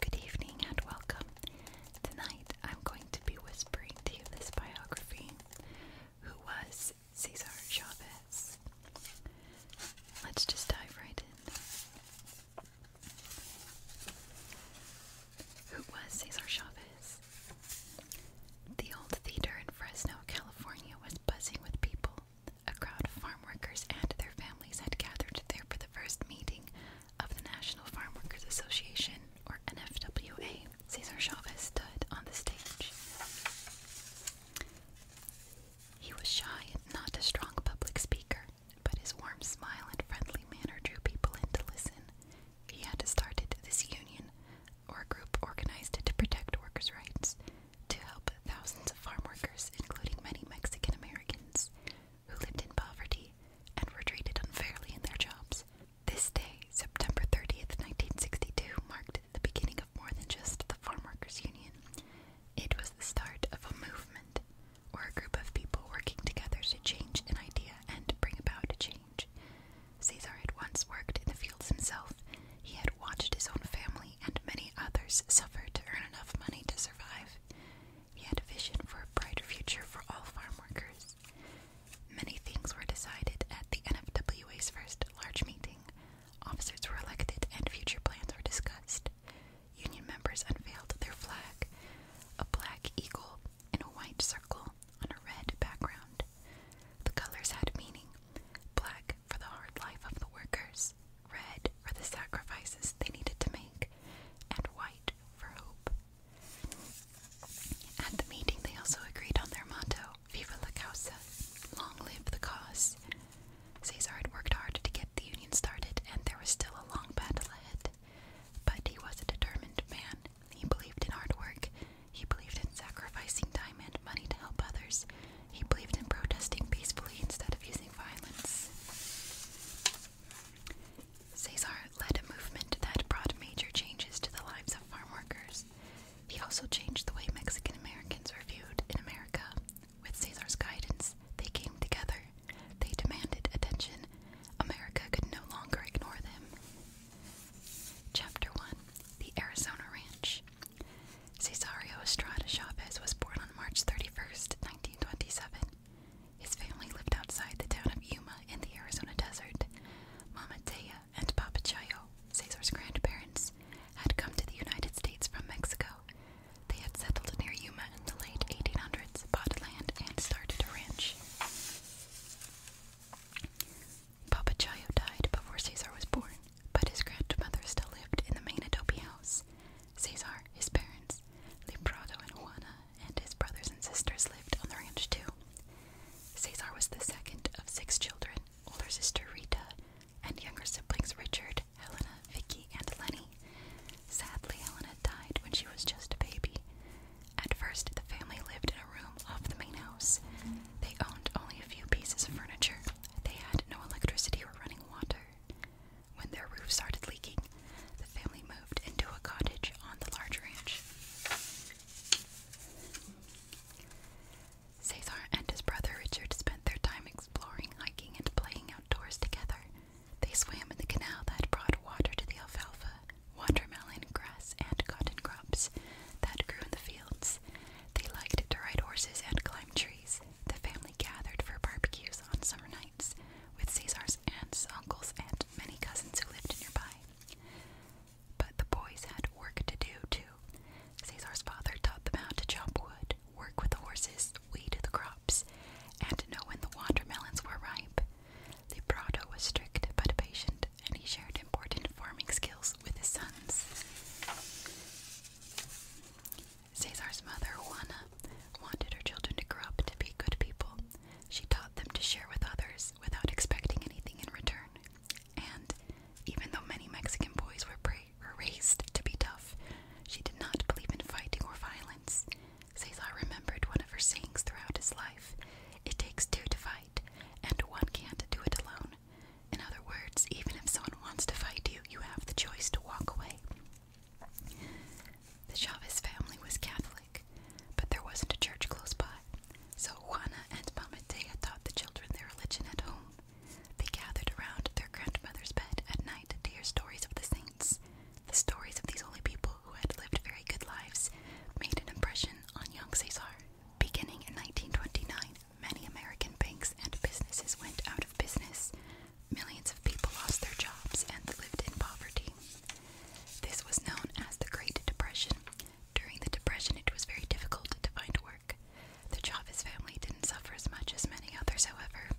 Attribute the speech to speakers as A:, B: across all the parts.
A: Good evening and welcome. Tonight I'm going to be whispering to you this biography. Who was Cesar Chavez? Let's just dive right in. Who was Cesar Chavez? The old theater in Fresno, California was buzzing with people. A crowd of farm workers and their families had gathered there for the first meeting of the National Farm Workers Association, or NFWA. Cesar Chavez stood on the stage. He was shy and not a strong public speaker, but his warm smile and friendly manner drew people in to listen. He had started this union, or a group organized to protect workers' rights to help thousands of farm workers, including many Mexican Americans who lived in poverty and were treated unfairly in their jobs. This day, September 30th, 1962, marked the beginning of more than just the Farm Workers Union. It was the start of a movement or a group of people working together to change an idea and bring about a change change. Caesar had once worked in the fields himself. He had watched his own family and many others suffer to earn enough money to survive. He had a vision for a brighter future for all farm workers. Many things were decided at the NFWA's first large meeting. Officers were elected and future plans were discussed. Union members unveiled their flag a black eagle in a white circle on a red background. The colors had meaning black for the hard life of the workers, red for the sacrifices they needed to make, and white for hope. At the meeting, they also agreed on their motto Viva la causa, long live the cause. Cesar had worked hard to get the union started, and there was still a long battle ahead. But he was a determined man he believed in hard work. He believed in sacrificing time and money to help others. He believed in protesting peacefully instead of using violence. Cesar led a movement that brought major changes to the lives of farm workers. He also changed the way Mexican Americans were viewed in America. With Cesar's guidance, they came together. They demanded attention. America could no longer ignore them. Chapter 1 The Arizona Ranch. Cesario Estrada Chavez was born on March 31st, 1927. His family lived outside the town of Yuma in the Arizona desert. Mama Teya and Papa Chayo, Cesar's grandparents, had come to the United States from Mexico. They had settled near Yuma in the late 1800s, bought land, and started a ranch. Papa Chayo died before Caesar was born, but his grandmother still lived in the main adobe house. Caesar, his parents, Librado and Juana, and his brothers and sisters lived on the ranch too. Caesar was the second of six children, older sister Rita, and younger siblings Richard, Helena, Vicky, and Lenny. Sadly, Helena died when she was just a baby. At first, the family lived in a room off the main house. They owned only a few pieces of furniture. They had no electricity or running water. When their roof started leaking, the family moved into a cottage on the large ranch. Cesar and his brother Richard spent their time exploring, hiking, and playing outdoors together. They swam in the canal that brought water to the alfalfa watermelon, grass, and cotton crops that grew in the fields. They liked to ride horses and climb trees. The family gathered for barbecues on summer nights with Caesar's aunts, uncles, and many cousins who lived nearby. But the boys had work to do too. Caesar's father taught them how to chop wood, work with the horses, weed the crops, and know when the watermelons were ripe. The Prado was strict but patient, and he shared important farming skills with his sons. Cesar's mother, Juana, wanted her children to grow up to be good people. She taught them to share with others without expecting anything in return. And even though many Mexican boys were, raised to be tough, she did not believe in fighting or violence. Cesar remembered one of her sayings throughout his life it takes two to fight and one can't do it alone. In other words, even if someone wants to fight you, you have the choice to walk away. The Chavez family was Catholic, but there wasn't a church close by, so Juana and Mamatea taught the children their religion at home. They gathered around their grandmother's bed at night to hear stories of the saints. The stories of these holy people who had lived very good lives made an impression on young Cesar. Beginning in 1929, many American banks and businesses went out of business. Millions of people lost their jobs and lived in poverty. This was known as the Great Depression. During the Depression, it was very difficult to find work. The Chavez family didn't suffer as much as many others, however.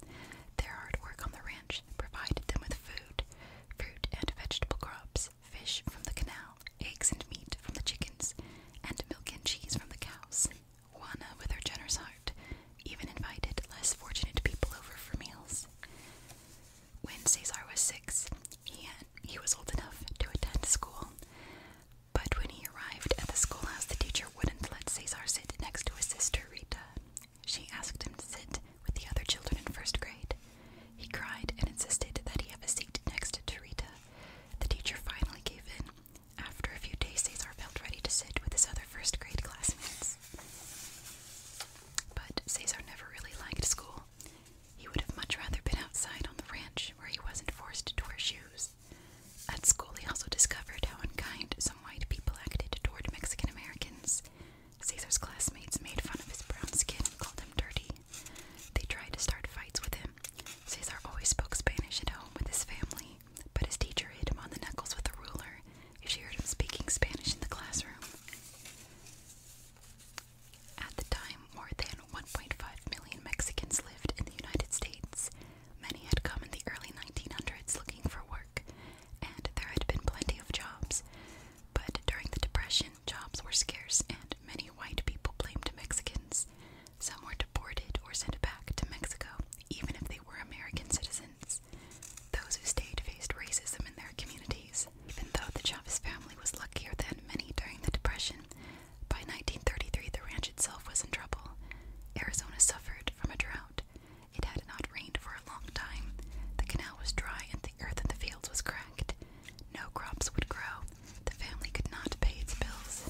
A: Their hard work on the ranch provided them with food, fruit, and vegetable crops fish from the canal, eggs and meat from the chickens, and milk and cheese from the cows. Juana, with her generous heart, even invited less fortunate people over for meals. When Cesar was six, he, he was old enough to attend school. But when he arrived at the schoolhouse, the teacher wouldn't let Cesar sit next to his sister Rita. She asked him to sit with the other children in first grade. He cried and insisted that he have a seat next to Tarita. The teacher finally gave in. After a few days, Cesar felt ready to sit with his other first grade classmates. But Cesar never really liked school. He would have much rather been outside on the ranch where he wasn't forced to wear shoes. At school, he also discovered how unkind some white people acted toward Mexican Americans. Caesar's classmates made fun of his brown skin and called him dirty. They tried to start fights with him. Caesar always spoke Spanish at home with his family, but his teacher hit him on the knuckles with a ruler if she heard him speaking Spanish in the classroom. At the time, more than 1.5 million Mexicans lived in the United States. Many had come in the early 1900s looking for work, and there had been plenty of jobs. But during the Depression, jobs were scarce and many white people blamed Mexicans. Some were deported or sent back to Mexico, even if they were American citizens. Those who stayed faced racism in their communities. Even though the Chavez family was luckier than many during the Depression, by 1933 the ranch itself was in trouble. Arizona suffered from a drought. It had not rained for a long time. The canal was dry and the earth in the fields was cracked. No crops would grow. The family could not pay its bills.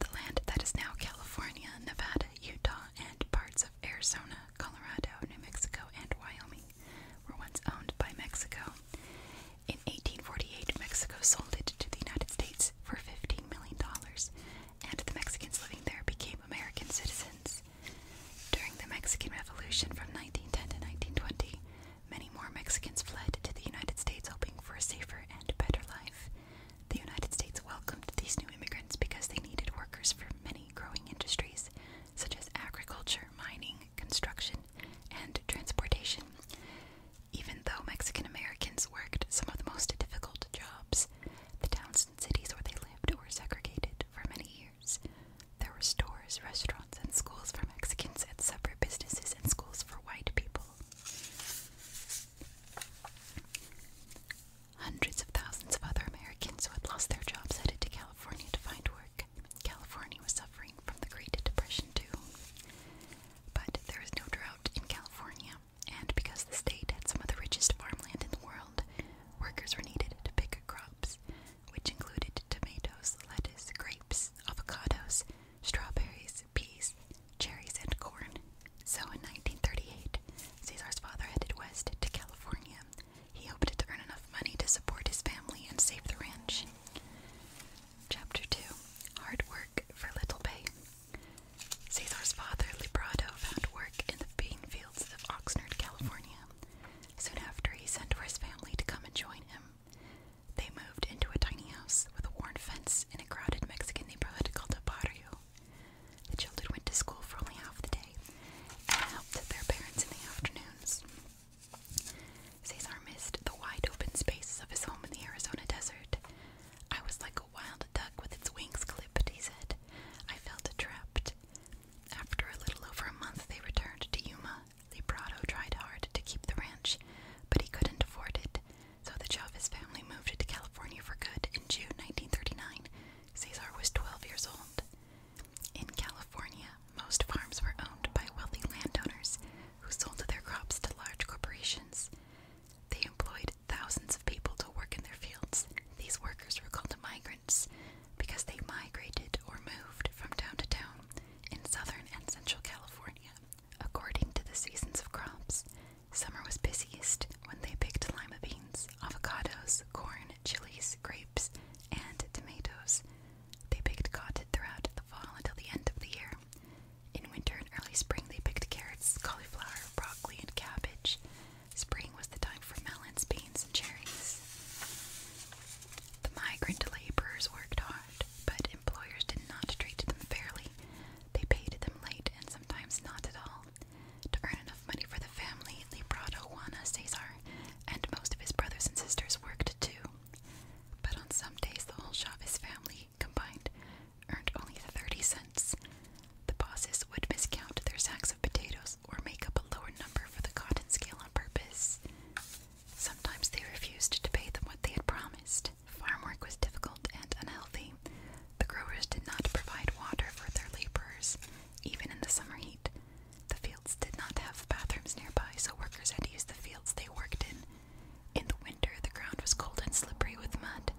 A: The land that is now California, Nevada, Utah, and parts of Arizona, Colorado, New Mexico, and Wyoming were once owned by Mexico. In 1848, Mexico sold it to the United States for $15 million, and the Mexicans living there became American citizens. During the Mexican Revolution from 1910 to 1920, many more Mexicans fled to the United States hoping for a safer and better life. The United States welcomed these new immigrants because they needed workers for many growing industries, such as agriculture, mining, construction, and transportation. Even though Mexican Americans worked some of the most difficult jobs, the towns and cities where they lived were segregated, for many years. There were stores, restaurants, and schools for Mexicans, and separate businesses and schools for white people. Hundreds of thousands of other Americans who had lost their jobs headed to California to find work. California was suffering from the Great Depression, too. But there was no drought in California, and because the state had some of the richest farmland in the world, workers were needed to pick crops which included tomatoes, lettuce, grapes, avocados, strawberries, peas, cherries, and corn. So in 1938, Caesar's father headed west to California. He hoped to earn enough money to support his family and save the ranch. Chapter 2 Hard Work for Little Pay. Caesar's father, Librado, found work in the bean fields of Oxnard, California. Soon after, he sent for his family to come and join him. They moved into a tiny house with a worn fence in a crowded Mexican neighborhood called a barrio. The children went to school for only half the day and helped their parents in the afternoons. Cesar missed the wide open spaces of his home in the Arizona desert. I was like a wild duck with its wings clipped, he said. I felt trapped. After a little over a month, they returned to Yuma. Librado tried hard to keep the ranch, but he couldn't afford it, so the Chavez family moved to California for good in June 1939. Cesar was 12 years old. In California, most farms were owned by wealthy landowners who sold their crops to large corporations. They employed thousands of people to work in their fields. These workers were called migrants because they migrated or moved from town to town in southern and central California according to the seasons of crops. Summer was busiest when they picked lima beans, avocados, corn, chilies, grapes, and tomatoes. They picked cotton throughout the fall until the end of the year. In winter and early spring, they picked carrots, cauliflower, broccoli, and cabbage. Spring was the time for melons, beans, and cherries. The migrant laborers worked hard, but employers did not treat them fairly. They paid them late and sometimes not at all. To earn enough money for the family, Librado Juana Cesar and most of his brothers and sisters worked too. But on some days, the whole Chavez family combined earned only 30 cents. The bosses would miscount their sacks of potatoes or make up a lower number for the cotton scale on purpose. Sometimes they refused to pay them what they had promised. Farm work was difficult and unhealthy. The growers did not provide water for their laborers, even in the summer heat. The fields did not have bathrooms nearby, so workers had to use the fields they worked in. In the winter, the ground was cold and slippery with mud.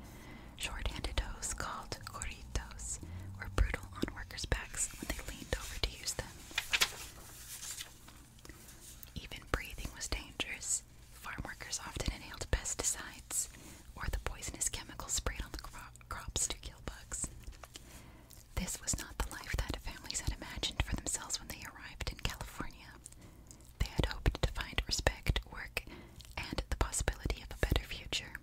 A: Short-handed hoes called corritos were brutal on workers' backs when they leaned over to use them. Even breathing was dangerous. Farm often inhaled pesticides or the poisonous chemicals sprayed on the crops to kill bugs. This was not the life that families had imagined for themselves when they arrived in California. They had hoped to find respect, work, and the possibility of a better future.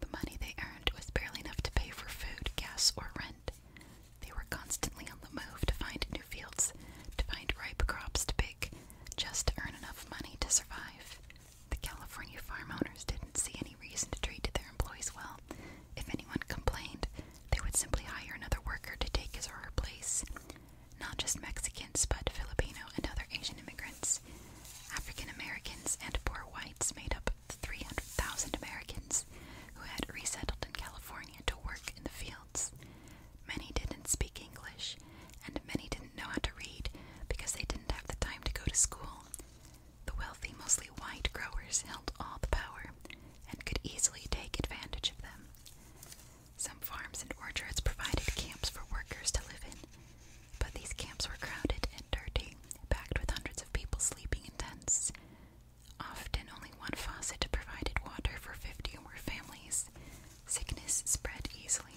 A: The money they earned was barely enough to pay for food, gas, or rent. They were constantly on the move to find new fields, to find ripe crops to pick, just to earn enough money to survive. The California farm owners didn't see any reason to treat their employees well. If anyone complained, they would simply hire another worker to take his or her place. Not just Mexicans, but Filipino and other Asian immigrants. African Americans and poor whites made up the 300,000 Americans who had resettled in California to work in the fields. Many didn't speak English, and many didn't know how to read because they didn't have the time to go to school. The wealthy, mostly white growers held all the power and could easily take advantage of them. Some farms and orchards provided camps for workers to live in, but these camps were crowded and dirty, packed with hundreds of people sleeping in tents. Often, only one faucet provided water for 50 or more families. Sickness spread easily.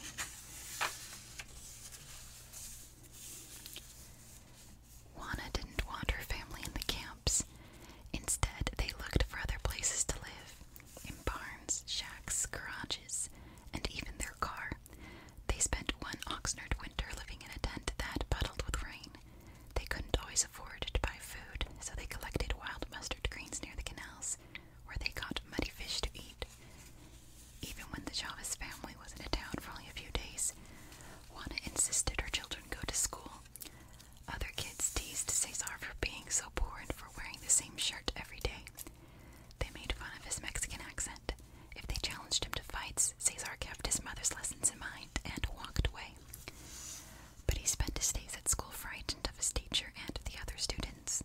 A: Juana didn't want her family in the camps. Instead, they looked for other places to live in barns, shacks, garages, and even their car. They spent one Oxnard winter living in a tent that, puddled with rain, they couldn't always afford to buy food, so they collected wild mustard greens near the canals, where they caught muddy fish to eat. Even when the Chavez family was in a town for only a few days, Juana insisted her children go to school. Other kids teased Cesar for being so poor and for wearing the same shirt every day. They made fun of his Mexican accent, if they challenged him to fights, Caesar kept his mother's lessons in mind and walked away. But he spent his days at school frightened of his teacher and the other students.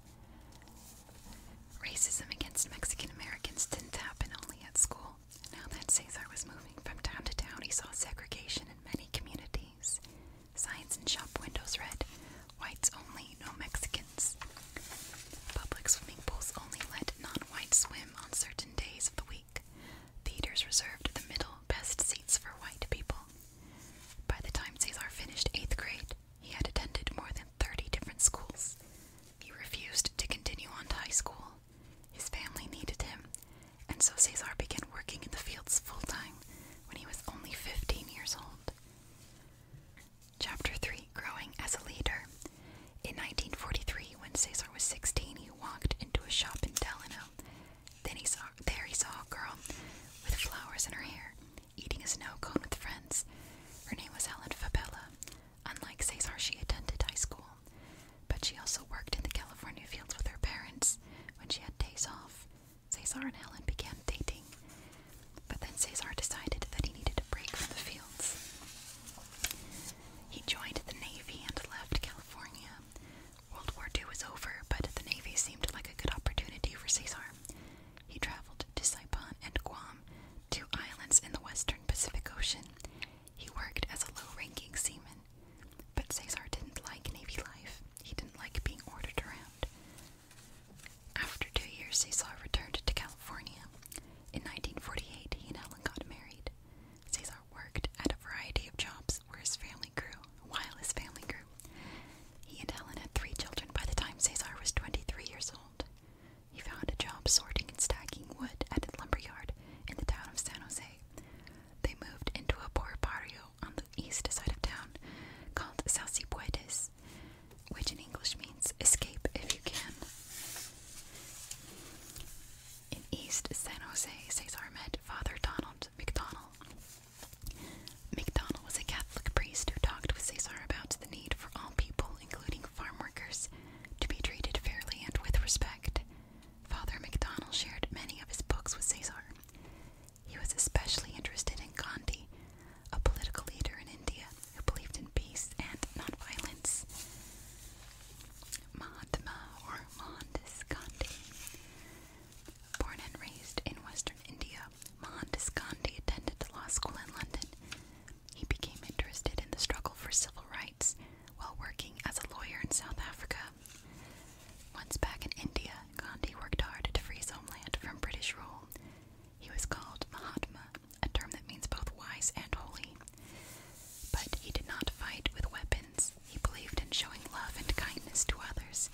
A: Racism against Mexican Americans didn't happen only at school. Now that Caesar was moving from town to town, he saw segregation in many communities. Signs in shop windows read, Whites only, no Mexicans. Public swimming pools only let non whites swim on certain days of the week. Theaters reserved the middle best seats for white people. By the time Cesar finished eighth grade, he had attended more than 30 different schools. He refused to continue on to high school. His family needed him, and so Cesar began working in the fields full time when he was only 15 years old. Chapter 3 Growing as a Leader in 1943, when Cesar was 16, he walked into a shop in Delano. Then he saw there he saw a girl with flowers in her hair, eating a snow cone with friends. Her name was Helen Fabella. Unlike Cesar, she attended high school, but she also worked in the California fields with her parents when she had days off. Cesar and Helen began dating, but then Cesar decided that he needed a break from the fields. He joined the Navy and left California. World War II was over, but the Navy seemed like a good opportunity for Caesar. He traveled to Saipan and Guam, two islands in the western Pacific Ocean. He worked as a low ranking seaman, but Caesar didn't like Navy life. He didn't like being ordered around. After two years, Caesar returned to California. In 1948, he and Helen got married. Cesar worked at a variety of jobs where his family grew, while his family grew. He and Helen had three children by the time Cesar was 23 years old. He found a job sorting and stacking wood at a lumberyard in the town of San Jose. They moved into a poor patio on the east side of town called Salsipuedes, which in English means escape if you can. In East San Jose, Cesar met Father Donald McDonald. McDonald was a Catholic priest who talked with Cesar about the need for all people, including farm workers, to be treated fairly and with respect. Father McDonald shared many of his books with Cesar. He was especially interested in Gandhi, a political leader in India who believed in peace and nonviolence. Mahatma or Mohandas Gandhi. Born and raised in western India, Mohandas Gandhi attended the law school in London. He became interested in the struggle for civil rights while working as a lawyer in South Africa. Once back in India, Gandhi worked hard to free his homeland from British rule. He was called Mahatma, a term that means both wise and holy. But he did not fight with weapons. He believed in showing love and kindness to others.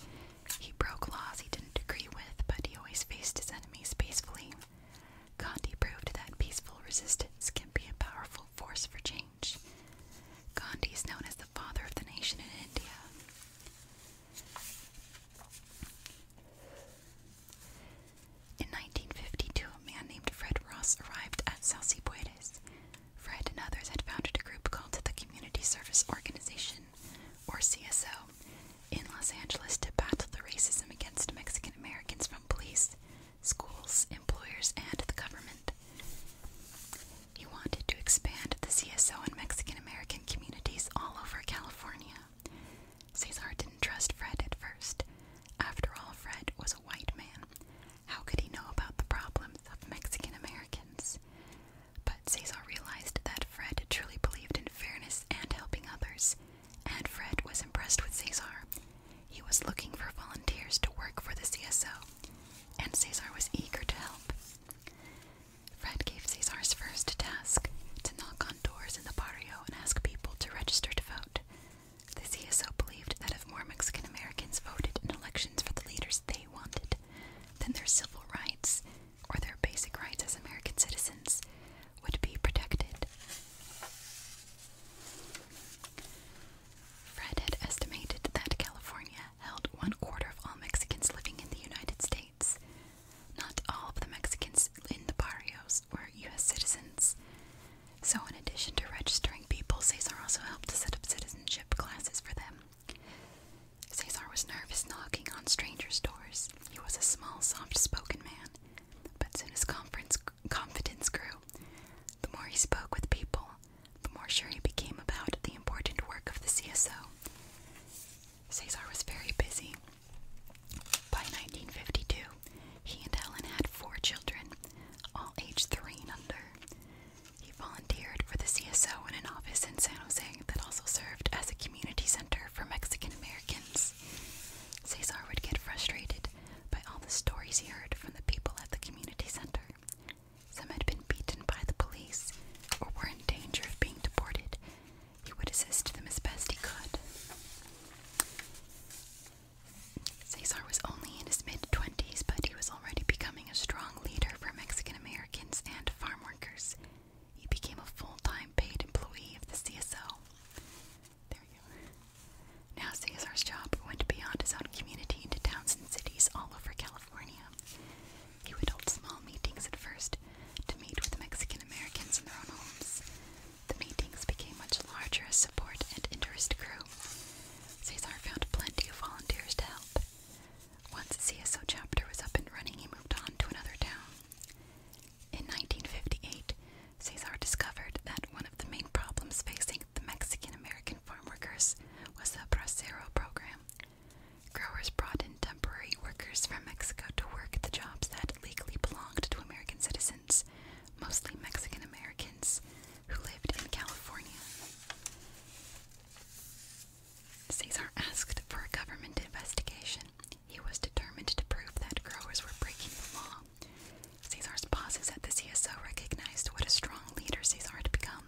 A: He broke laws he didn't agree with, but he always faced his enemies peacefully. Gandhi proved that peaceful resistance can be a powerful force for change. Gandhi is known as the father of the nation in India. In 1952, a man named Fred Ross arrived at Salsipuedes. Fred and others had founded a group called the Community Service Organization, or CSO, in Los Angeles to battle the racism against Mexican Americans from police, schools, employers, and the government. He wanted to expand the CSO in Mexican American communities all over California. Cesar didn't trust Fred at first. After all, Fred was a white man, how could he know about the problems of Mexican Americans? But Cesar realized that Fred truly believed in fairness and helping others, and Fred was impressed with Cesar. He was looking for volunteers to work for the CSO, and Cesar was eager to help. Fred gave Cesar's first task to knock on doors in the barrio and ask people to register to vote. The CSO believed that if more Mexican Americans voted in elections for the leaders they wanted, then their civil rights, or their basic rights as American citizens, would be protected. Fred had estimated that California held one quarter of all Mexicans living in the United States. Not all of the Mexicans in the barrios were U.S. citizens, so, in addition to registering people, Cesar also helped to set up citizenship classes for them. Cesar was nervous knocking on strangers' doors. He was a small, soft spoken man, but as his confidence grew. The more he spoke with people, the more sure he became about the important work of the CSO. Cesar was very busy. By 1952, he and Helen had four children, all aged three and under. He volunteered for the CSO in an office in San Jose that also served as a community center for Mexican Americans. Cesar would get frustrated by all the stories he heard from the people at the community center. Some had been beaten by the police or were in danger of being deported. He would assist them as best he could. Cesar was only in his mid 20s, but he was already becoming a strong leader for Mexican Americans and farm workers. He became a full time paid employee of the CSO. There you go. Now Cesar's job went beyond his own community into towns and cities all over California. He would hold small meetings at first to meet with Mexican Americans in their own homes. The meetings became much larger as support and interest grew. Cesar found plenty of volunteers to help. Once the CSO chapter was up and running, he moved on to another town. In 1958, Cesar discovered that one of the main problems facing the Mexican American farm workers was the Bracero program. Growers brought in temporary workers from Mexico to work the jobs that legally belonged to American citizens, mostly Mexican Americans, who lived in California. Cesar asked for a government investigation. He was determined to prove that growers were breaking the law. Cesar's bosses at the CSO recognized what a strong leader Cesar had become.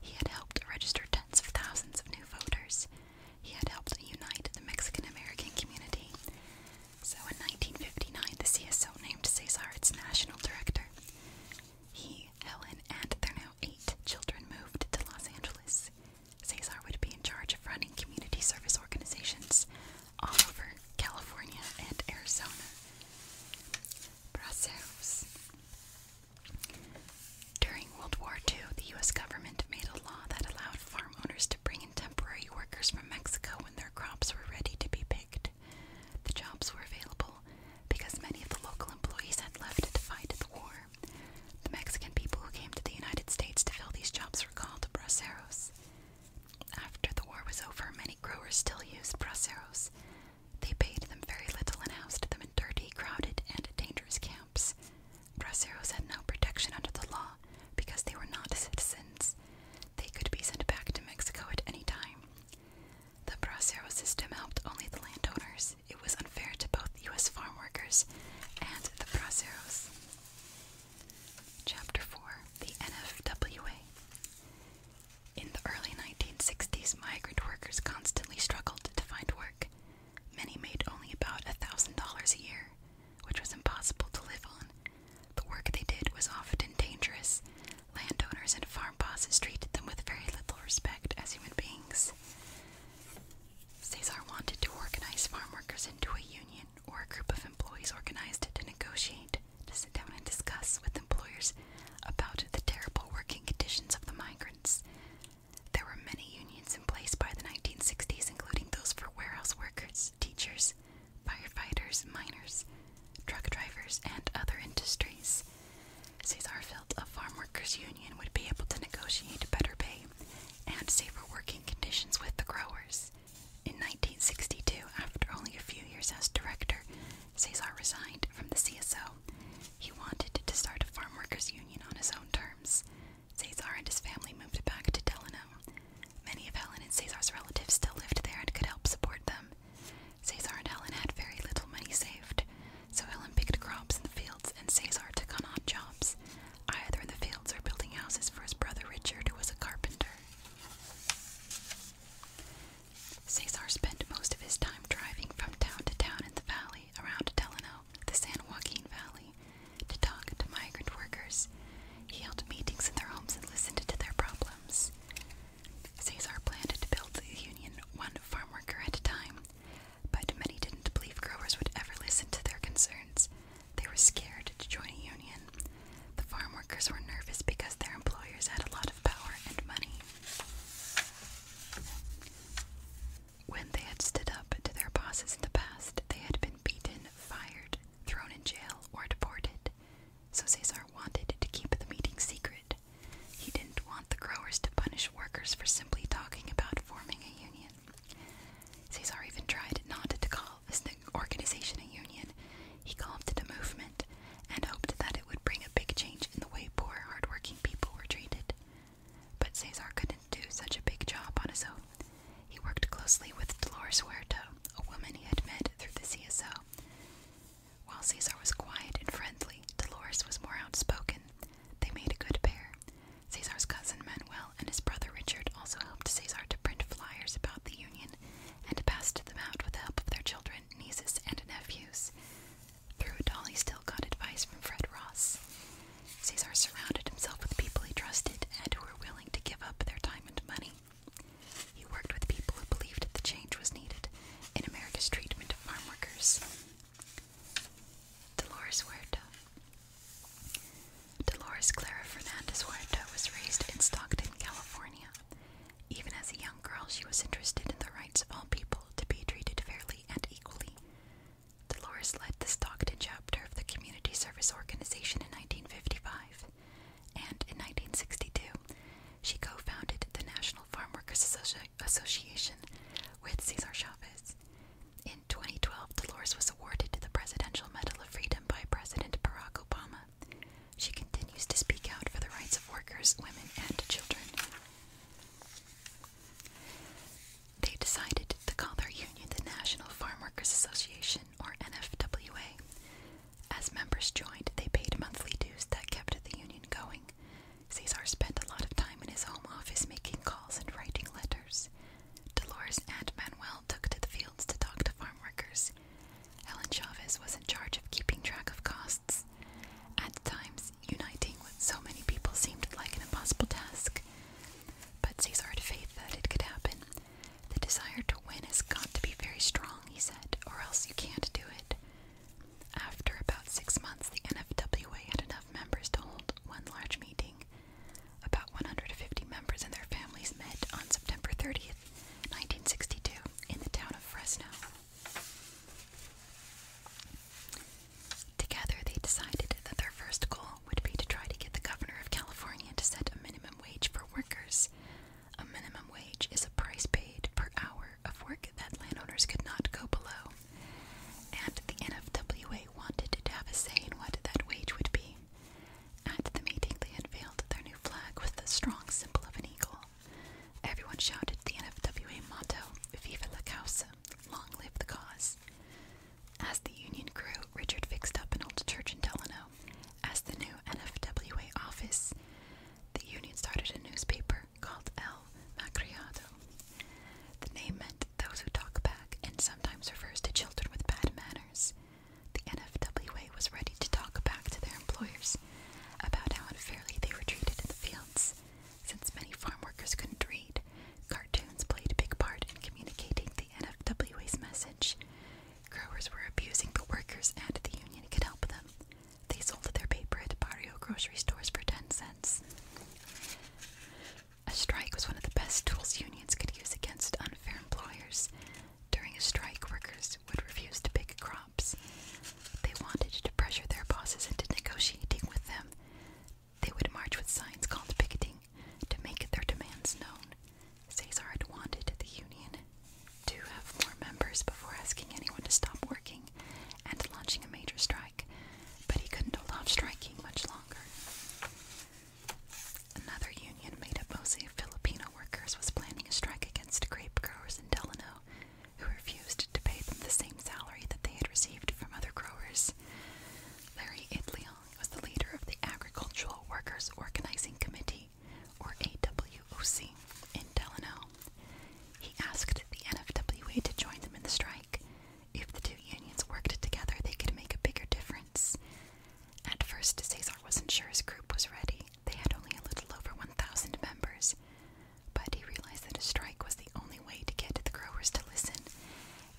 A: He had helped register tens of thousands of new voters. He had helped unite the Mexican American community. So in 1959, the CSO named Cesar its national director. He, Helen, and their now eight children moved to Los Angeles. Cesar would be in charge of running community service organizations all over California and Arizona. Brazos. During World War II, the U.S. government made a law that allowed farm owners to bring in temporary workers from Mexico when their crops were ready to be picked night. The jobs were available because many of the local employees had left to fight the war. The Mexican people who came to the United States to fill these jobs were called braceros. After the war was over, many growers still used braceros. They paid them very little and housed them in dirty, crowded, and dangerous camps. Braceros had no protection under the law because they were not citizens. They could be sent back to Mexico at any time. The bracero system helped only the landowners. It was unfair to both U.S. farm workers and the braceros. Chapter 4 The NFWA In the early 1960s, migrant workers constantly struggled to find work. Many made only about $1,000 a year, which was impossible to live on the work they did was often dangerous. Landowners and farm bosses treated them with very little respect as human beings. Cesar wanted to organize farm workers into a union or a group of employees organized to negotiate, to sit down and discuss with employers about the terrible working conditions of the migrants. There were many unions in place by the 1960s, including those for warehouse workers, teachers, firefighters, miners, truck drivers, and other industries. Cesar felt a farm workers' union would be able to negotiate better pay and safer working conditions with the growers. In 1962, after only a few years as director, Cesar resigned from the CSO. He wanted to start a farm workers' union on his own terms. Cesar and his family moved back to Delano. Many of Helen and Caesar's relatives still lived there and could help support them. Caesar and Helen had very little money saved, so Helen picked crops in the fields and Caesar took on odd jobs, either in the fields or building houses for his brother Richard, who was a carpenter. Caesar spent most of his time driving from town to town in the valley around Delano, the San Joaquin Valley, to talk to migrant workers. He held meetings in their homes and listened to their problems. Caesar planned to build the Union one farm at a time, but many didn't believe growers would ever listen to their concerns. They were scared to join a union. The farm workers were nervous because their employers had a lot of power and money. When they had stood up to their bosses in the past, they had been beaten, fired, thrown in jail, or deported. So Cesar wanted to keep the meeting secret. He didn't want the growers to punish workers for simply talking about forming a union. Cesar even tried not to call his organization a union. He called it a movement and hoped that it would bring a big change in the way poor, hardworking people were treated. But Cesar couldn't do such a big job on his own. He worked closely with Dolores Huerto, a woman he had met through the CSO, while Caesar was quiet and friendly, Dolores was more outspoken. They made a good pair. Caesar's cousin Manuel and his brother Richard also helped Caesar to print flyers about the Union and passed them out with the help of their children, nieces, and nephews. Through it still got advice from Fred Ross. Caesar surrounded himself with people he trusted and who were willing to give up their time and money. He worked with people who believed that the change was needed in America's treatment of farm workers. Dolores Huerta. Dolores Clara Fernandez Huerta was raised in Stockton, California. Even as a young girl, she was interested in the rights of all people to be treated fairly and equally. Dolores led the Stockton chapter of the Community Service Organization in 1955 and in 1962, she co founded the National Farm Workers Association with Cesar Chavez. In 2012, Dolores was awarded the Presidential Medal of Freedom by President Barack Obama. She continues to speak out for the rights of workers, women, and children. They decided to call their union the National Farm Workers Association, or NFWA. As members joined, they paid monthly dues that kept the union going. Cesar spent a lot of time in his home office making calls and writing letters. Dolores and Manuel took to the fields to talk to farm workers. Helen Chavez was in charge of keeping track of costs. At times, uniting with so many people seemed like an impossible task. But Cesar had faith that it could happen, the desire to win has got to be very strong, he said, or else you can't do it. After about six months, the NFWA had enough members to hold one large meeting. About 150 members and their families met on September 30th, 1962, in the town of Fresno. Together, they decided that their first goal would be to try to get the governor of California to set a minimum wage for workers. A minimum wage is a price paid per hour of work that landowners could not go below, and the NFWA wanted to have a say in what that wage would be. At the meeting, they unveiled their new flag with the strong symbol of an eagle. Everyone shouted the NFWA motto, Viva la causa, long live the cause. As the union grew, Richard fixed up an old church in Delano as the new NFWA office, the union started a newspaper called El Macriado. The name meant those who talk back and sometimes refers to children with bad manners. The NFWA was ready to talk back to their employers about how unfairly they were treated in the fields. Since many farm workers couldn't read, cartoons played a big part in communicating the NFWA's message. Growers were abusing the workers, and the union could help them. They sold their paper at barrio grocery stores for 10 cents. A strike was one of the best tools unions could use against unfair employers. During a strike, workers would refuse to pick crops. They wanted to pressure their bosses into negotiating with them. They would march with signs called picketing to make their demands known. Cesar had wanted the union to have more members before asking anyone to stop working and launching a major strike, but he couldn't hold off striking much longer. Another union made up mostly of Filipino workers was planning a strike against grape growers in Delano, who refused to pay them the same salary that they had received from other growers. Larry Itliong was the leader of the Agricultural Workers Organizing Committee, or AWOC, in Delano. He asked the NFWA to join them in the strike. If the two unions worked together, they could make a bigger difference. At first, Cesar wasn't sure his group was ready. They had only a little over 1,000 members. But he realized that a strike was the only way to get the growers to listen,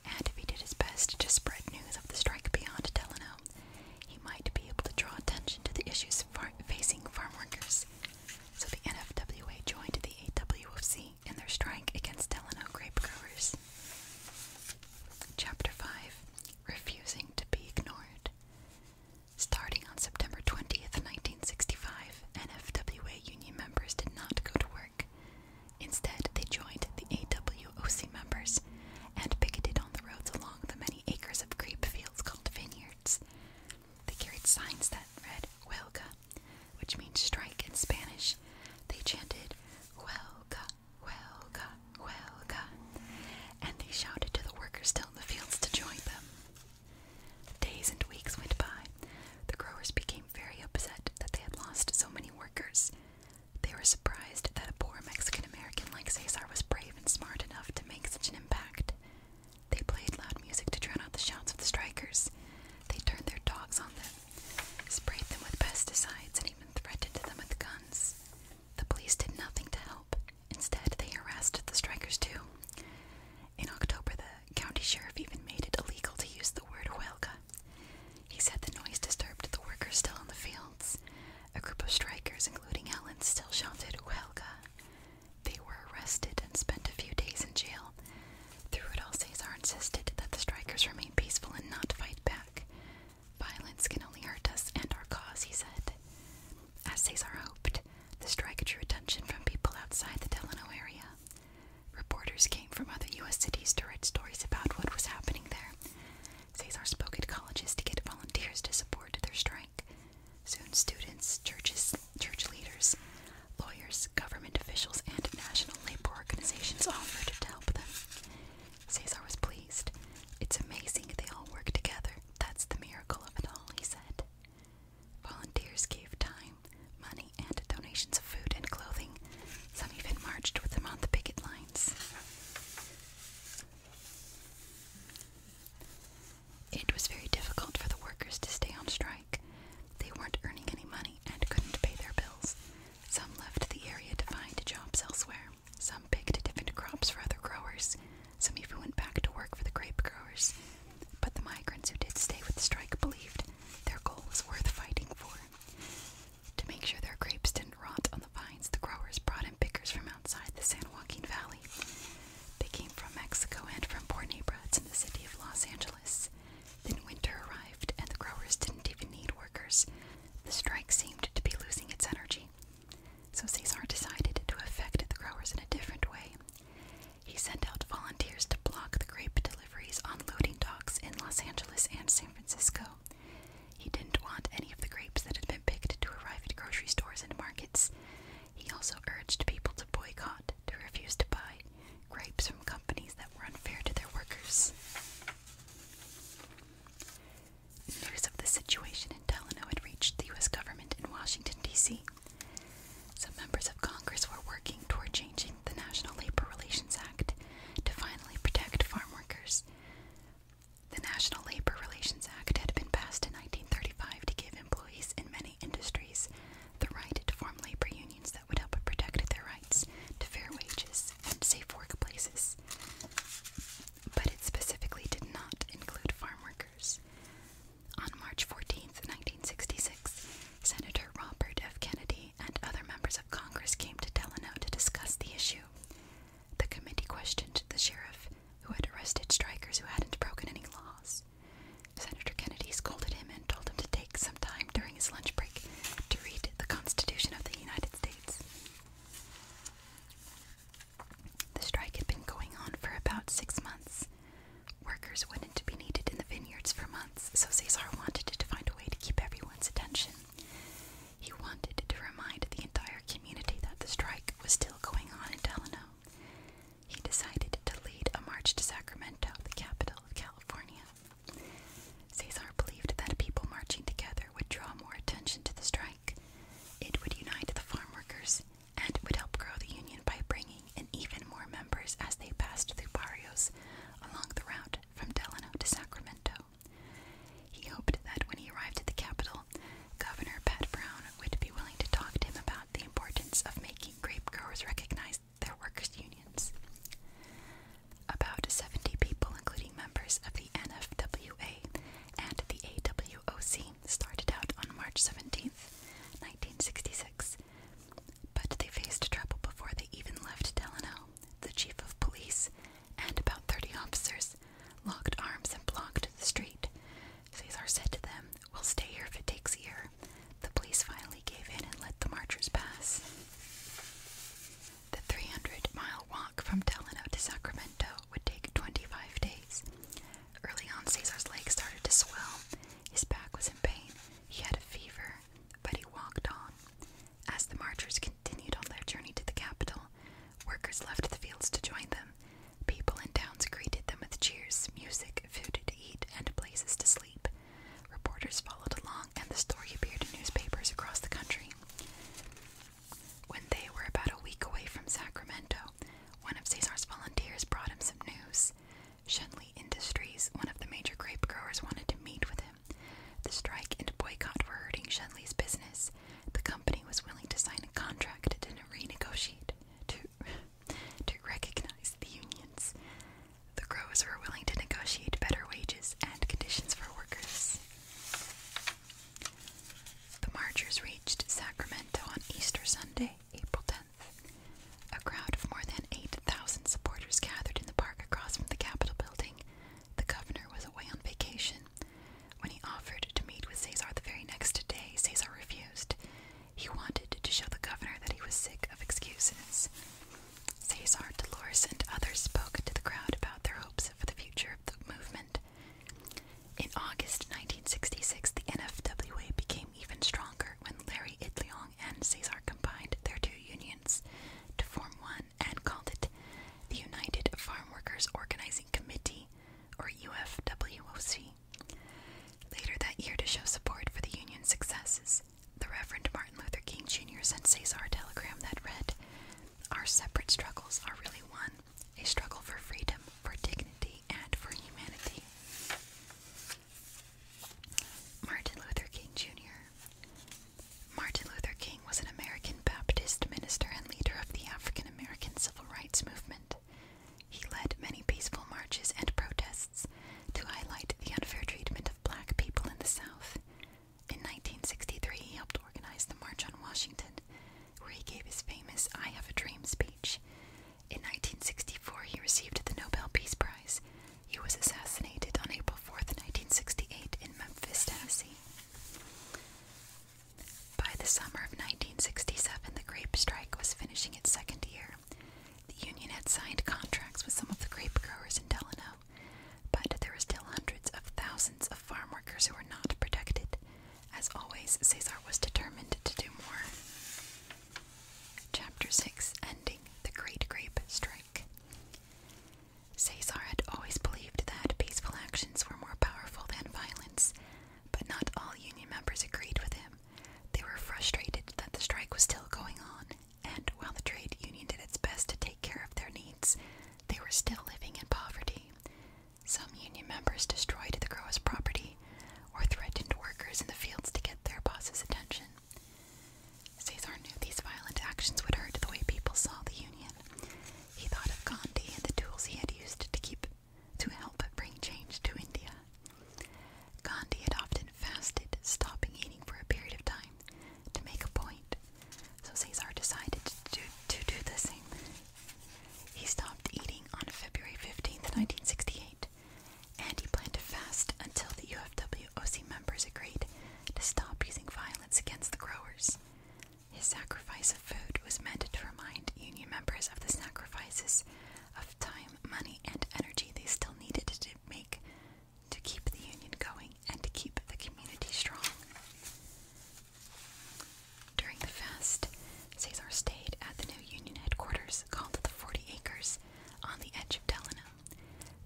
A: and he did his best to spread news of the strike beyond Delano, he might be able to draw attention to the issues facing farm workers. So the NFWA joined the AWOC in their strike against Delano grape growers. Chapter 5 Refusing to be Ignored. Starting on September 20th, 1965, NFWA union members did not go to work. Instead, they joined the AWOC members and picketed on the roads along the many acres of grape fields called vineyards. They carried signs that read Huelga, which means strike in Spanish. They chanted Huelga, Huelga, Huelga, and they shouted to the workers still in the fields to join them. Days and weeks went by. The growers became very upset that they had lost so many workers. They were surprised that a poor Mexican American like Cesar was brave even smart enough to make such an impact. They played loud music to drown out the shouts of the strikers. They turned their dogs on them, sprayed them with pesticides, and even threatened them with guns. The police did nothing to help. Instead, they harassed the strikers too. In October, the county sheriff even made it illegal to use the word huelga. He said the noise disturbed the workers still in the fields, a group of strikers, including Allen, still shouted Huelga. They were arrested and spent a few days in jail. Through it all, Cesar insisted that the strikers remain peaceful and not fight back. Violence can only hurt us and our cause, he said. As Cesar hoped, the strike drew attention from people outside the Delano area. Reporters came from other U.S. cities to write stories about what was happening there. Cesar spoke at colleges to get volunteers to support their strike. Soon, students, churches, church leaders, lawyers, government officials, and national labor organizations offered to help them. Cesar was pleased. It's amazing they all work together. That's the miracle of it all, he said. Volunteers gave time, money, and donations of food and clothing. Some even marched with them on the picket lines. It was very difficult for the workers to stay on strike. They weren't earning any money and couldn't pay their bills. Some left the area to find jobs elsewhere. Some picked different crops for other growers. Some even went back to work for the grape growers. But the migrants who did stay with the strike believed their goal was worth fighting for. To make sure their grapes didn't rot on the vines, the growers brought in pickers from outside the San Joaquin Valley. They came from Mexico and from poor neighborhoods in the city of Los Angeles. Then winter arrived, and the growers didn't even need workers. The strike seemed to be losing its energy. So Cesar decided to affect the growers in a different way. He sent out volunteers to block the grape deliveries on loading docks in Los Angeles and San Francisco. He didn't want any of the grapes that had been picked to arrive at grocery stores and markets. He also urged people to boycott, to refuse to buy grapes from companies that were unfair to their workers. News of the situation in Delano had reached the U.S. government in Washington, D.C. Some members of Congress were working toward changing the National Labor Relations Act to finally protect farm workers. The National Labor Relations Act had been passed in 1935 to give employees in many industries the right to form labor unions that would help protect their rights to fair wages and safe workplaces. But it specifically did not include farm workers. On March 14, 1966, Senator Robert F. Kennedy and other members of Congress came to Delano to discuss the issue. The committee questioned the sheriff, who had arrested strikers who hadn't broken any laws. Senator Kennedy scolded him and told him to take some time during his lunch break to read the Constitution of the United States. The strike had been going on for about six months. Workers wouldn't be needed in the vineyards for months, so Cesar wanted to find a way to keep everyone's attention. He wanted to remind the entire community that the strike was still going on in Delano. He decided to lead a march to Sacramento, the capital of California. Cesar believed that people marching together would draw more attention to the strike. It would unite the farm workers and would help grow the union by bringing in even more members as they passed through barrios along the route from Delano to Sacramento. He hoped that when he arrived at the capital, Governor Pat Brown would be willing to talk to him about the importance of making grape growers recognize their workers' unions. About 70 people, including members of the NFWA and the AWOC, started out on March seventeenth, 1966, but they faced trouble before they even left Delano. The chief of police and about 30 officers locked arms and blocked the street. Caesar said to them, We'll stay here if it takes a year. The police finally gave in and let the marchers pass. The 300 mile walk from Delano to Sacramento would take 25 days. Early on, Caesar's legs started to swell. His back was in pain. He had a fever, but he walked on. As the marchers continued on their journey to the capital, Workers left the fields to join them. People in towns greeted them with cheers, music, food to eat, and places to sleep. Reporters followed along, and the story appeared in newspapers across the country. When they were about a week away from Sacramento, one of Caesar's volunteers brought him some news. Shenley Industries, one of the major grape growers, wanted to meet with him. The strike and boycott were hurting Shenley's business the company was willing to sign a contract to renegotiate to to recognize the unions. The growers were willing to negotiate better wages and conditions for workers. The marchers reached Sacramento on Easter Sunday, April 10th. A crowd of more than 8,000 supporters gathered in the park across from the Capitol building the governor was away on vacation. When he offered to meet with Caesar the very next day, Caesar refused. He wanted to show the governor that he was sick of excuses. Caesar, Dolores, and others spoke to the crowd about their hopes for the future of the movement. In August 1966, the NFWA became even stronger when Larry Itliong and Cesar combined their two unions to form one and called it the United Farm Workers Organizing Committee, or UFWOC. Later that year, to show support for the union's successes, the Reverend Martin Luther King Jr. sent Cesar a telegram that read, Our separate struggles are really one a struggle for freedom, for dignity, and for humanity. Martin Luther King Jr. Martin Luther King was an American Baptist minister and leader of the African American Civil Rights Movement. He led many peaceful marches and protests to highlight the unfair treatment of black people in the South. In 1963, he helped organize the March on Washington, where he gave his famous I Have a Dream speech. In 1964, he received the Nobel Peace Prize. He was assassinated on April 4, 1968, in Memphis, Tennessee. By the summer of 1967, the grape strike was finishing its second year. The union had signed contracts with some of the grape growers in Delano, but there were still hundreds of thousands of farm workers who were not protected. As always, Cesar was determined to do more. Chapter 6 Ending the Great Grape Strike. Cesar had always believed that peaceful actions were more powerful than violence silence, but not all union members agreed with him. They were frustrated that the strike was still going on, and while the trade union did its best to take care of their needs, they were still living in poverty. Some union members destroyed the growers' property or threatened workers in the fields to get their boss's attention. Cesar knew these violent actions would hurt the way people saw the union, he thought of Gandhi and the tools he had used to keep to help bring change to India. Gandhi had often fasted, stopping eating for a period of time to make a point. So Cesar decided to, do the same. He stopped eating on February 15, 1968, and he planned to fast until the UFWOC members agreed to stop using violence against the growers. His sacrifice of food was meant to remind union members of the sacrifices of time, money, and energy they still needed to make to keep the union going and to keep the community strong. During the fast, Caesar stayed at the new union headquarters called the Forty Acres on the edge of Delano.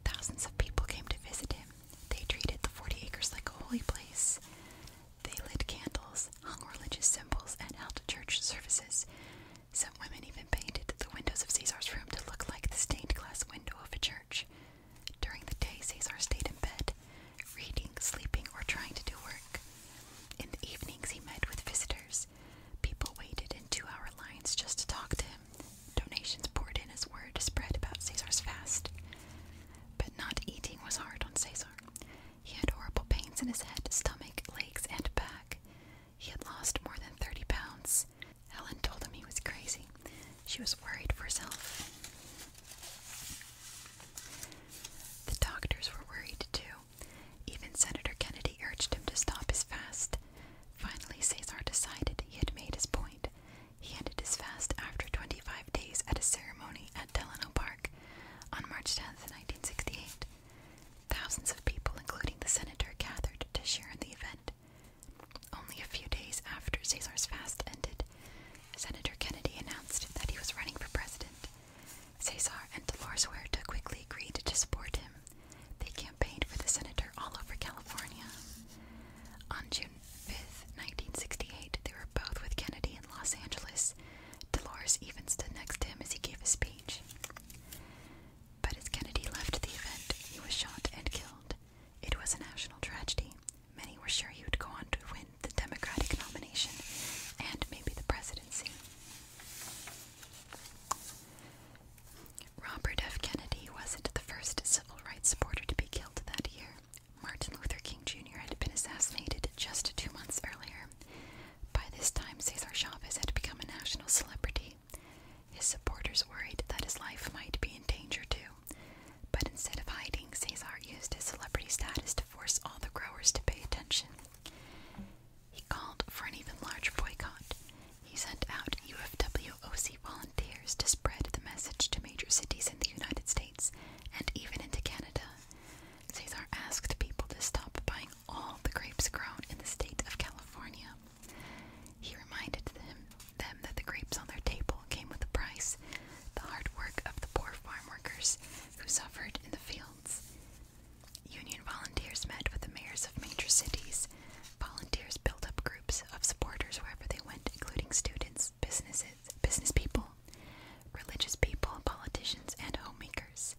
A: Thousands of people came to visit him. They treated the Forty Acres like a holy place. They lit candles, hung religious symbols, and held church services. Some women even painted the windows of Caesar's room to look like the stained glass window of a church. During the day, Caesar stayed in bed, reading, sleeping, or trying to do work. In the evenings, he met with visitors. People waited in two hour lines just to talk to him. Donations poured in as word spread about Caesar's fast. But not eating was hard on Caesar. He had horrible pains in his head, stomach, legs, and back. He had lost more than 30 pounds. Helen told him he was crazy. She was worried for herself. The doctors were worried too. Even Senator Kennedy urged him to stop his fast. Finally, Caesar decided he had made his point. He ended his fast after 25 days at a ceremony at Delano Park on March tenth, nineteen 1968. of people, including the senator, gathered to share in the event. Only a few days after Caesar's fast ended, Senator Kennedy announced that he was running for president. Cesar and Dolores Ware quickly agreed to support him. They campaigned for the senator all over California. On June 5th, 1968, they were both with Kennedy in Los Angeles. Dolores even stood next to him as he gave his speech. But as Kennedy left the event, he was shot and killed. It was a national tragedy. Many were sure he would go on to win the Democratic nomination and maybe the presidency. Robert F. Kennedy wasn't the first civil rights supporter to be killed that year. Martin Luther King Jr. had been assassinated just two months earlier. By this time, Cesar Chavez had become a national celebrity. His supporters worried that his life might be in danger too. But instead of hiding, Cesar used his celebrity status to force all the growers to pay attention. He called for an even larger boycott. He sent out UFWOC volunteers to spread the message to major cities in the United States and even into Canada. Cesar asked people to stop buying all the grapes grown in the state of California. He reminded them, them that the grapes on their table came with a price, the hard work of the poor farm workers who suffered in the fields. Union volunteers met with the mayors of major cities. Volunteers built up groups of supporters wherever they went, including students, businesses, business people, religious people, politicians, and homemakers.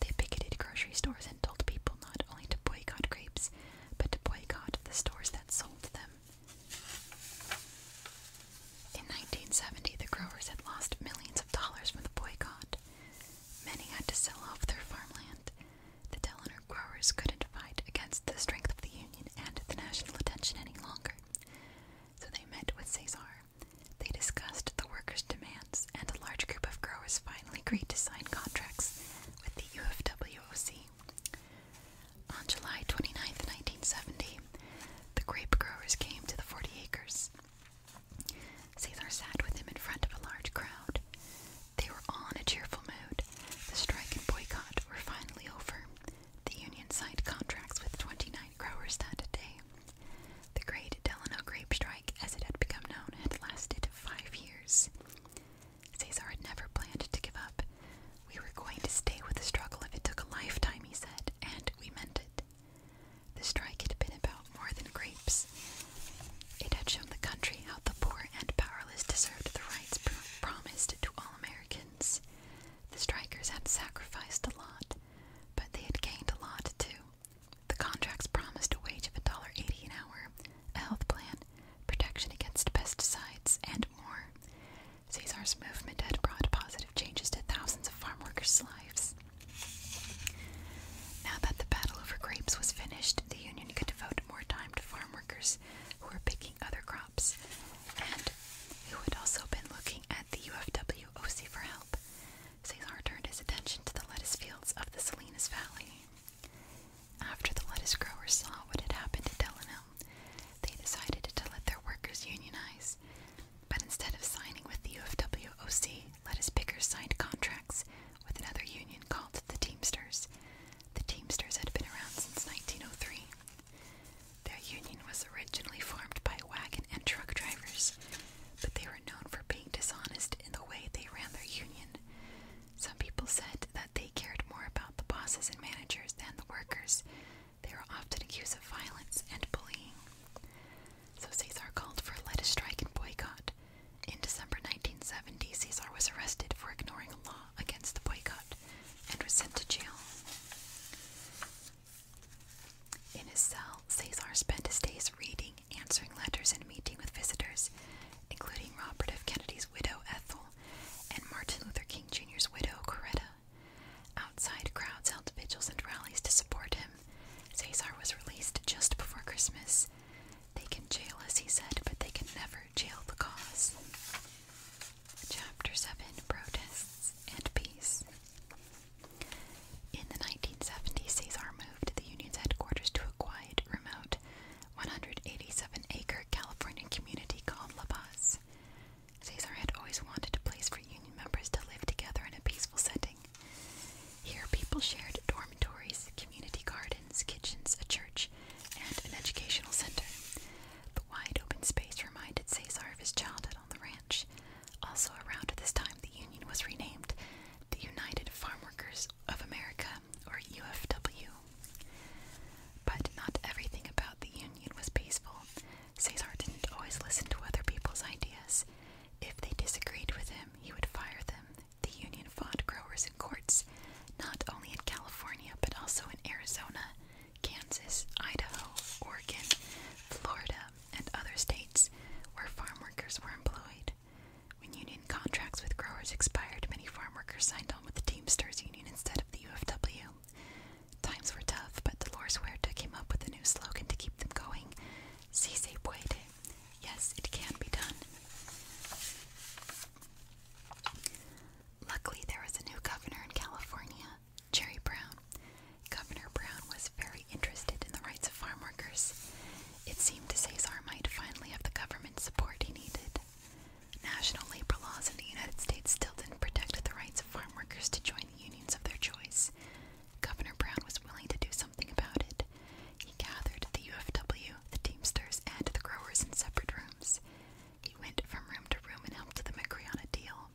A: They picketed grocery stores and told people not only to boycott grapes, but to boycott the stores that sold them. In 1970, the growers had lost millions of dollars from the boycott. Many had to sell off their farmland. The Delaware growers couldn't fight against the strength of the Union and the national attention any longer. So they met with Cesar. They discussed the workers' demands, and a large group of growers finally agreed to sign contracts with the UFWOC. On July 29, 1970, the grape growers came to the 40 acres. Cesar sat with them in front of a large crowd. They were all in a cheerful mood. The strike and boycott were finally over. The union signed contracts with 29 growers that day. The Great Delano Grape Strike, as it had become known, had lasted five years. Cesar had never planned to give up. We were going to stay with the struggle if it took a lifetime, he said, and we meant it. The strike had been about more than grapes. It had shown the country how the poor and powerless deserved the rights promised to all Americans. The strikers had sacrificed a lot, but they had gained a lot too. The contracts promised a wage of $1.80 an hour, a health plan, protection against pesticides, and more. Caesar's movement had brought positive changes to thousands of farm workers' lives. Now that the battle over grapes was finished, the Union could devote more time to farm workers who were picking other crops and who had also been looking at the UFWOC for help, Cesar turned his attention to the lettuce fields of the Salinas Valley. After the lettuce growers saw what had happened to Delano, they decided to let their workers unionize. But instead of signing with the UFWOC, lettuce pickers signed contracts with another union called the Teamsters. The Teamsters had been around since 1903. Their union was originally formed by wagon and truck drivers, but they were known for being dishonest in the way they ran their union. Some people said that they cared more about the bosses and managers than the workers. They were often accused of violence and bullying. So Cesar called for a let strike and boycott. In December 1970, Caesar was arrested for ignoring a law against the boycott and was sent to jail. In his cell, Cesar spent his days reading, answering letters, and meeting with visitors, including Robert F. Kennedy's widow Ethel and Martin Luther King Jr.'s widow Coretta. Outside, crowds held vigils and rallies to support him. Cesar was released just before Christmas. They can jail us, he said, but they can never jail the cause. Chapter 7 Protests and Peace. In the 1970s, Cesar moved the union's headquarters to a quiet, remote, 187 acre California community called La Paz. Cesar had always wanted a place for union members to live together in a peaceful setting. Here, people shared dormitories, community gardens, kitchens, a church, and an educational center. The wide open space reminded Cesar of his childhood the ranch. Also, around this time, the union was renamed the United Farm Workers of America, or UFW. But not everything about the union was peaceful. Cesar didn't always listen to other people's ideas. If they disagreed with him, he would fire them. The union fought growers in courts, not only in California but also in Arizona, Kansas, Idaho, Oregon, Florida, and other states where farm workers were employed. When union contracts with growers expired, many farm workers signed on with the Teamsters Union instead of the UFW. Times were tough, but Dolores Huerta came up with a new slogan to keep them going. Si se puede. Yes, it can be done. Luckily, there was a new governor in California, Jerry Brown. Governor Brown was very interested in the rights of farm workers. It seemed to Cesar might finally have the government support he needed. National labor laws in the United States still didn't protect the rights of farm workers to join unions of their choice. Governor Brown was willing to do something about it. He gathered the UFW, the Teamsters, and the growers in separate rooms. He went from room to room and helped them agree on a deal.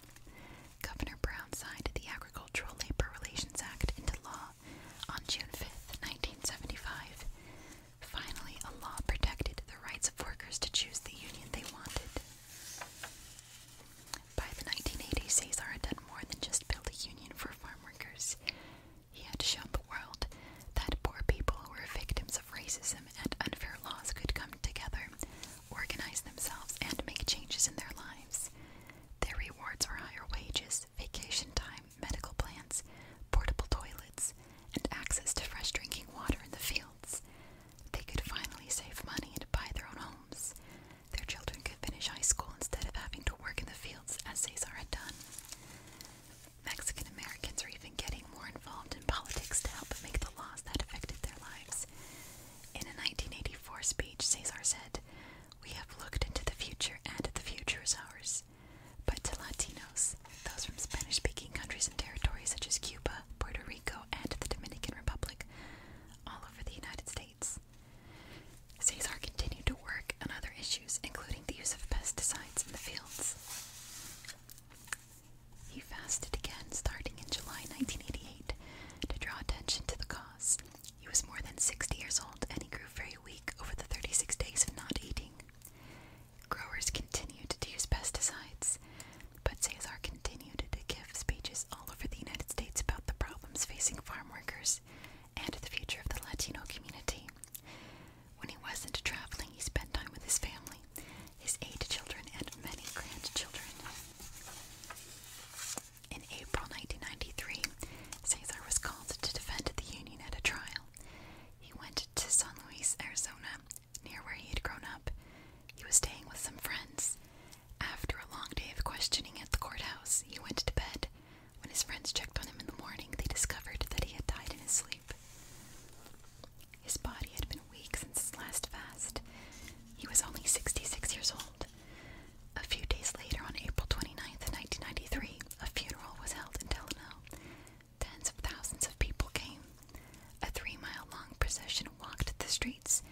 A: Governor Brown signed the Agricultural Labor Relations Act into law on June 5, 1975. Finally, a law protected the rights of workers to choose the union they wanted. By the 1980s, Cesar had done more than just build a union for farm workers. He had shown the world that poor people who were victims of racism and unfair laws could come together organize themselves, and make changes in their lives. Their rewards are higher wages, vacation time, medical plans, portable toilets, and access to fresh drinking water in the fields. They could finally save money and buy their own homes. Their children could finish high school instead of having to work in the fields as Cesar had done. Mexican Americans are even getting more involved in politics to help make the laws that affected their lives. In a 1984 speech, Cesar said, We have looked into the future, and the future is ours. But to Latinos, those from Spanish speaking countries and territories such as Cuba, Puerto Rico, and the Dominican Republic, all over the United States. Cesar continued to work on other issues, including the use of pesticides in the fields. He fasted again starting in July 1988 to draw attention to the cause. He was more than 60 years old and he grew very weak over the 36 days of not eating. Growers continued to use pesticides, but Cesar continued to give speeches all over the United States about the problems facing farm workers and the future of the Latino community. When he wasn't traveling, he spent time with his family his eight children and many grandchildren. In April 1993, Cesar was called to defend the Union at a trial. He went to San Luis, Arizona, near where he had grown up. He was staying with some friends. After a long day of questioning at the courthouse, he went to bed. When his friends checked on him in the morning, they discovered that he had died in his sleep. His body had been weak since his last fast. He was only 66 years old. A few days later, on April 29th, 1993, a funeral was held in Delano. Tens of thousands of people came. A three mile long procession walked the streets,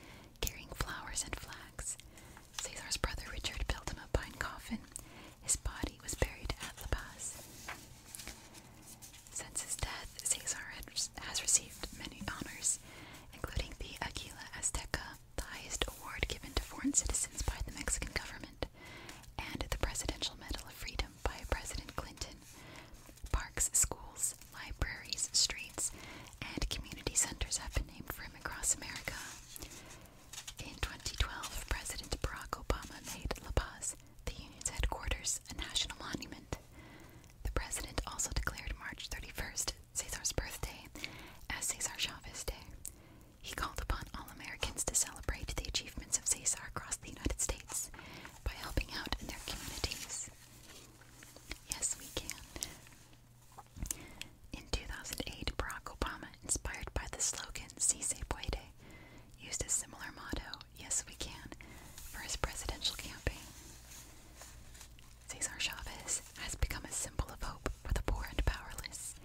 A: carrying flowers and flags. Cesar's brother Richard built him a pine coffin. His body was buried at the Paz. Since his death, Cesar has received many honors, including the Aguila Azteca, the highest award given to foreign citizens by the Mexican government, and the Presidential Medal of Freedom by President Clinton. Parks, schools, libraries, streets, and community centers have been named for him across America. In 2012, President Barack Obama made La Paz, the Union's headquarters, a national monument. The president also declared March 31st, Caesar's birthday, as Cesar Chavez Day. He called upon all Americans to celebrate the achievements of Caesar across the United States by helping out in their communities. Yes, we can. In 2008, Barack Obama, inspired by the slogan Si se puede, used a similar motto, Yes, we can, for his presidential campaign. Cesar Chavez has become a symbol of hope for the poor and powerless.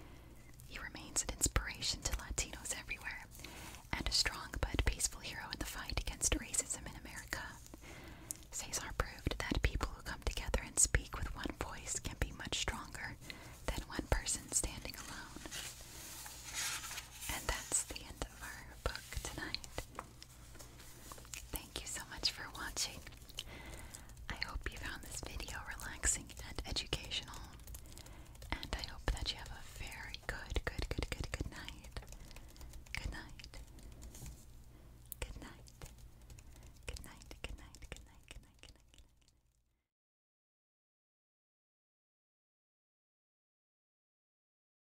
A: He remains an inspiration to Latinos everywhere and a strong but peaceful hero in the fight against racism in America. Cesar proved that people who come together and speak with one voice can be much stronger than one person standing alone. And that's the end of our book tonight. Thank you so much for watching. I hope you found this video relaxing and educational. And I hope that you have a very good, good, good, good, good night. Good night. Good night. Good night. Good night. Good night. Good night. Good night.